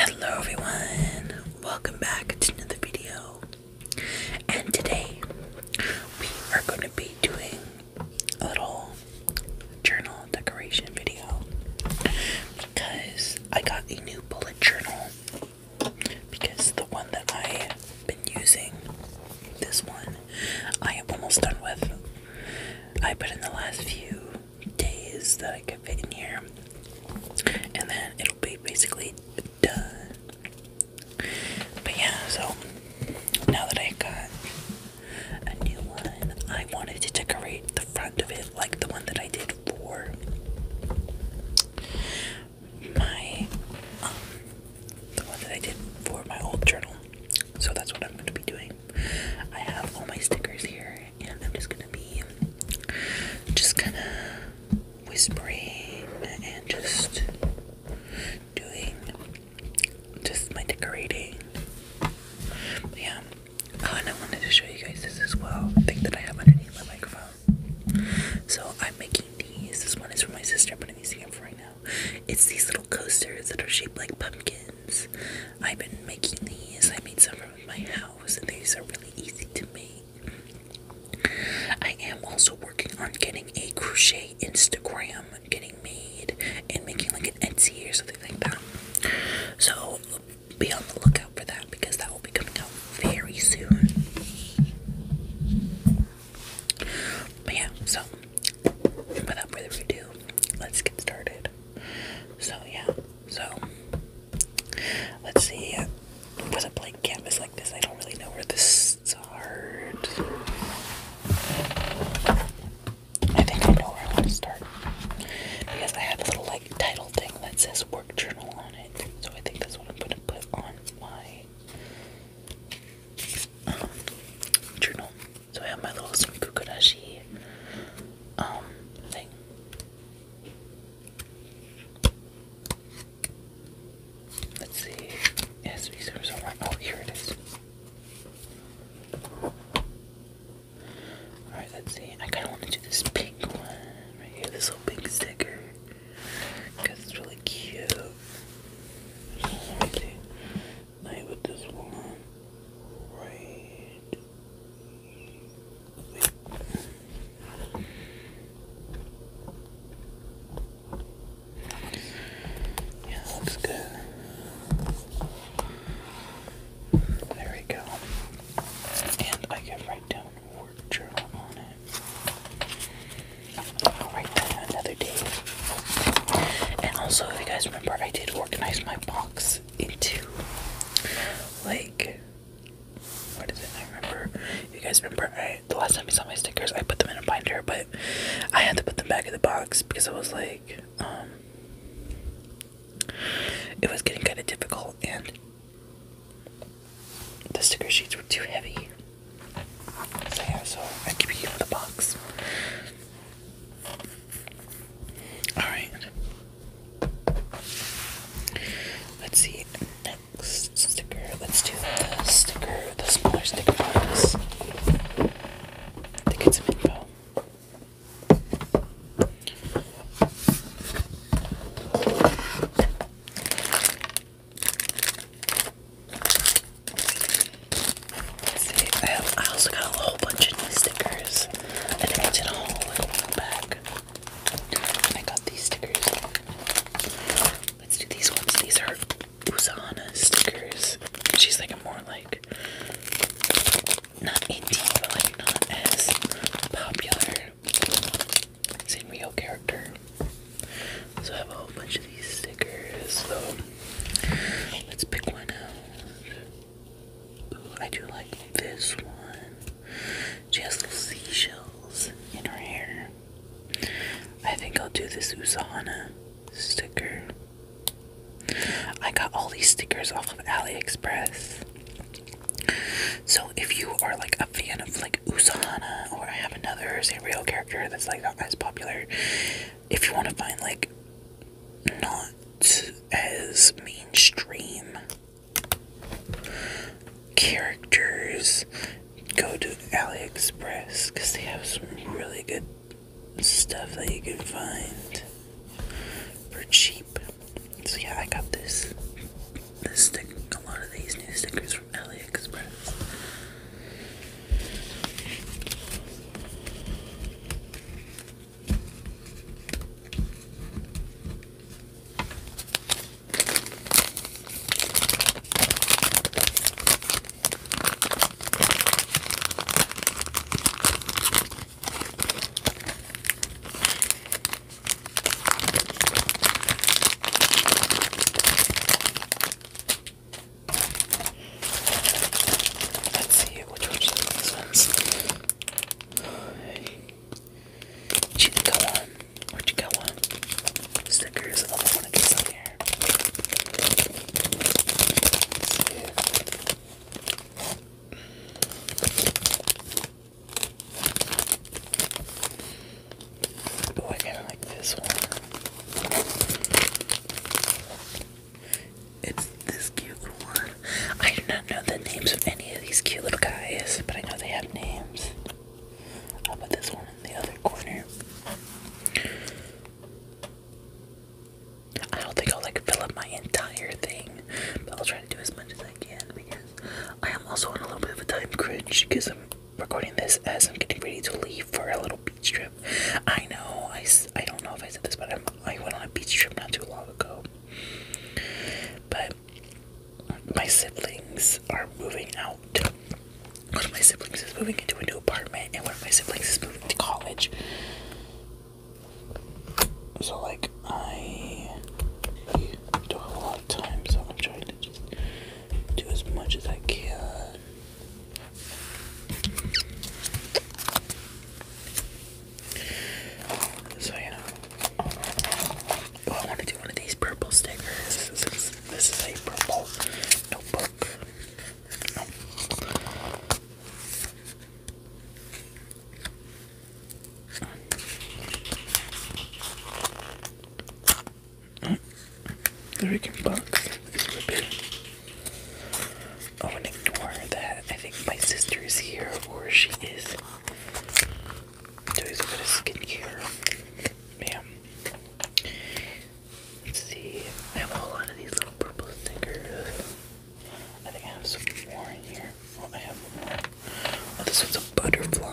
Hello everyone, welcome back to another video. And today we are going to be doing a little journal decoration video because I got a new bullet journal because the one that I've been using, this one, I am almost done with. I put in the last few days that I could fit in here, and then it'll be basically done. But yeah, so now that I got a new one. I wanted to decorate the front of it like the one that I did for my um the one that I did for my old journal. So that's what I'm gonna be doing. I have all my stickers here and I'm just gonna be just kinda whispering and just doing just my decorating. yeah, Oh, and I wanted to show you guys this as well. I think that I have underneath my microphone. So I'm making these. This one is for my sister. I'm putting these together for right now. It's these little coasters that are shaped like pumpkins. I've been making these. I made some from my house, and these are really easy to make. I am also working on getting a crochet Instagram, getting made and making like an Etsy or something like that. So be on the lookout for that because that will be coming out very soon. But yeah, so without further ado, let's get started. So yeah, so let's see. It was a blank canvas like this. I don't really know where to start. I think I know where I want to start because I have a little like title thing that says work journal on it, so I think that's what I'm going to put on my um, journal. So I have my little sunkukurashi um thing. Let's see. Yes, we are somewhere. Oh, here it is. Alright, let's see. I kind of want to do this pink one right here, this little pink sticker. Because it's really cute. Let's see. Now with this one. Right. Yeah, looks good. There we go. And I can write down work journal on it. I'll write that another day. And also, if you guys remember, I did organize my box into like. What is it? I remember. You guys remember I, the last time you saw my stickers, I put them in a binder, but I had to put them back in the box because I was like, um, it was getting kind of difficult and the sticker sheets were too heavy. yeah, so I keep it in the box. Alright. Let's see next sticker. Let's do the sticker, the smaller sticker box. Let's see, um, I, also got a whole bunch of new stickers. I think I did a whole little one back. I got these stickers. Let's do these ones. These are Usana stickers. She's like a more like not indie, but like not as popular Sanrio character. So I have a whole bunch of these stickers. So let's pick one out. I do like this one. She has little seashells in her hair. I think I'll do this Usana sticker. I got all these stickers off of AliExpress. So if you are like a fan of like Usana, or I have another Sanrio character that's like not as popular, if you want to find like not as mainstream characters, go to AliExpress because they have some really good stuff that you can find for cheap. So yeah, I got this. This stick, a lot of these new stickers from AliExpress. Let's see which one's these one, or one. Stickers, oh, I want to get some here. If... I kind of like this one. It's this cute one. I do not know the names of any of these cute little guys, but I know they have names. I'll put this one in the other corner. I don't think I'll like fill up my entire thing, but I'll try to do as much as I can because I am also on a little bit of a time crunch because I'm recording this as I'm getting ready to leave for a little beach trip. I know, I, I don't know if I said this, but i went on a beach trip not too long ago. But my siblings are moving out one of my siblings is moving into a new apartment, and one of my siblings is moving to college. So, like, I do a lot of time, so I'm trying to just do as much as I can. So, you oh, I want to do one of these purple stickers this is a purple notebook. No. Mm. The Rick box is ignore that I think my sister is here or she is doing a bit of skincare. Yeah. Let's see. I have a whole lot of these little purple stickers. I think I have some more in here. Oh, I have Oh, this one's a butterfly.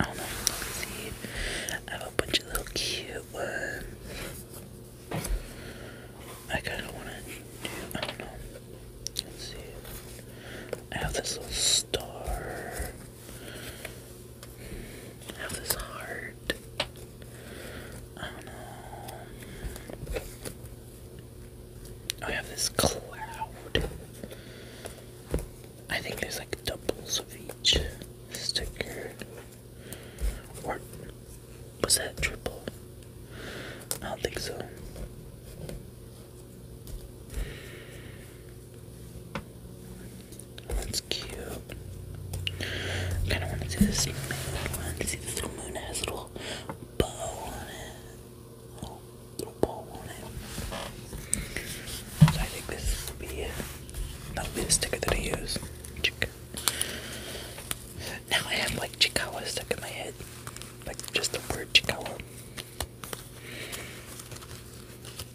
I don't know if you see. I have a bunch of little cute ones. I kind of want to I don't know. Let's see. I have this little star. I have this heart. I don't know. I have this cloud. I think there's like doubles of each sticker. Or was that triple? I don't think so. That's cute. kind of want to see this moon. this little moon. has a little bow on it. little bow on it. I think this will be that'll be the sticker that I use. Now I have like Chikawa stuck in my head, like just the word Chikawa. I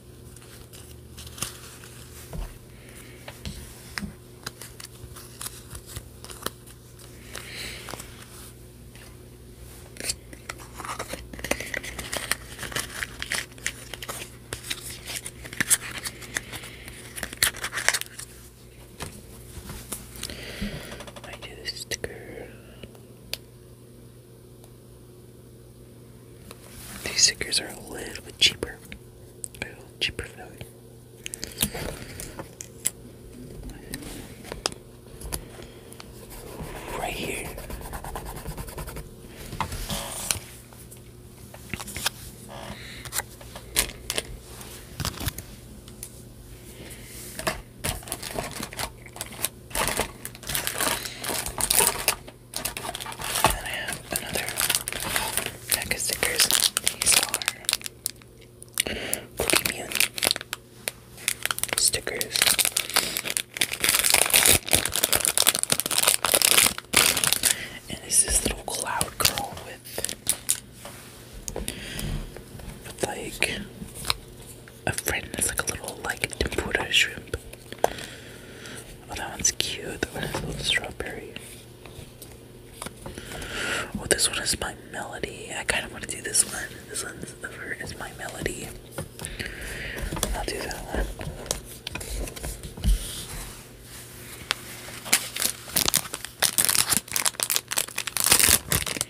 do this sticker. These stickers are a little bit cheaper. Right here. I have another pack of stickers. These are Cookie stickers. And this this little cloud girl with like a friend that's like a little like tempura shrimp. Oh, that one's cute. That one has little strawberry. Oh, this one is my melody. I kind of want to do this one. This one's over is my melody. I'll do that one. I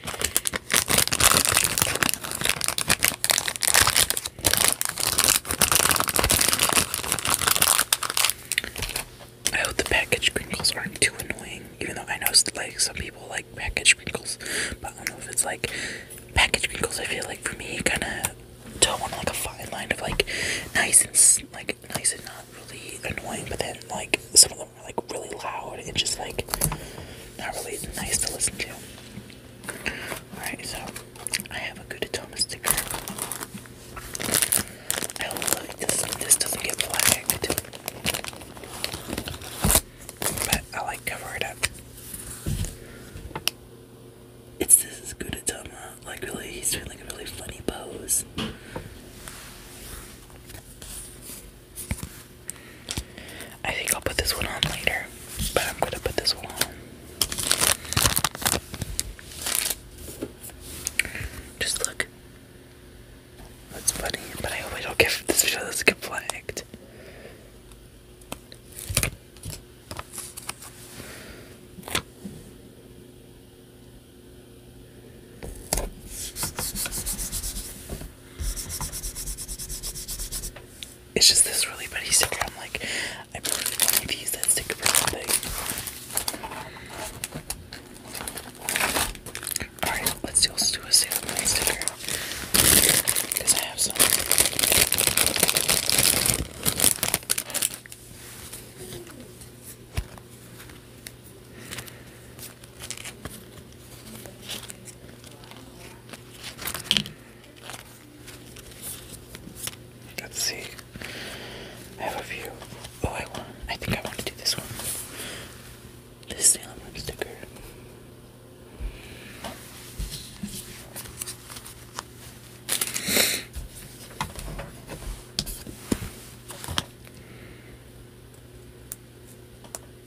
hope the package sprinkles aren't too annoying, even though I know like some people like package sprinkles, but I don't know if it's like package sprinkles. I feel like for me, kind of toe on like a fine line of like nice and like nice and not really annoying, but then like some of them them like really loud and just like not really nice to listen to. Alright, so I have a good sticker. I hope this this doesn't get flagged. But I like cover it up. It's this Gudetama. Like really he's doing like a really funny pose. I think I'll put this one on later, but I'm gonna put this one on. Just look. That's funny, but I hope I don't get this video does flagged. It's just this really pretty sticker. I'm like, I really wanted to use that sticker for something. Alright, let's do, a sticker. Because I have some. Let's see. I have a few. Oh, I want. I think I want to do this one. This Sailor Moon sticker.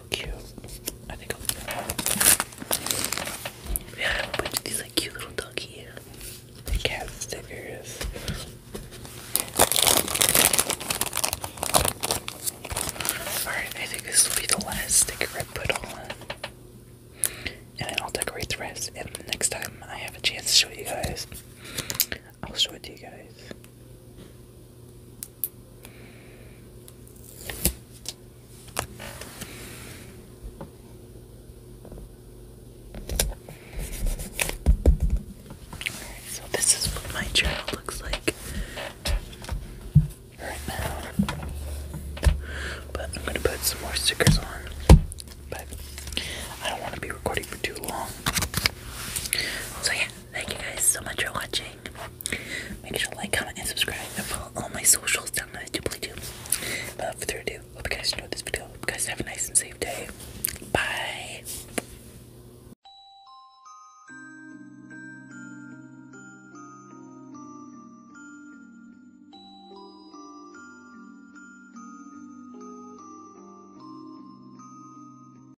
so cute. I think I'll yeah, but these like cute little doggy cat stickers. Alright, I think this will be the last sticker I put on. And then I'll decorate the rest. And next time I have a chance to show you guys, I'll show it to you guys. Alright, so this is what my journal looks like right now. But I'm gonna put some more stickers on. But I don't want to be recording for too long. Thank you guys so much for watching. Make sure to like, comment, and subscribe. And follow all my socials down at Duply Tubes. Without further ado, hope you guys enjoyed this video. guys have a nice and safe day. Bye.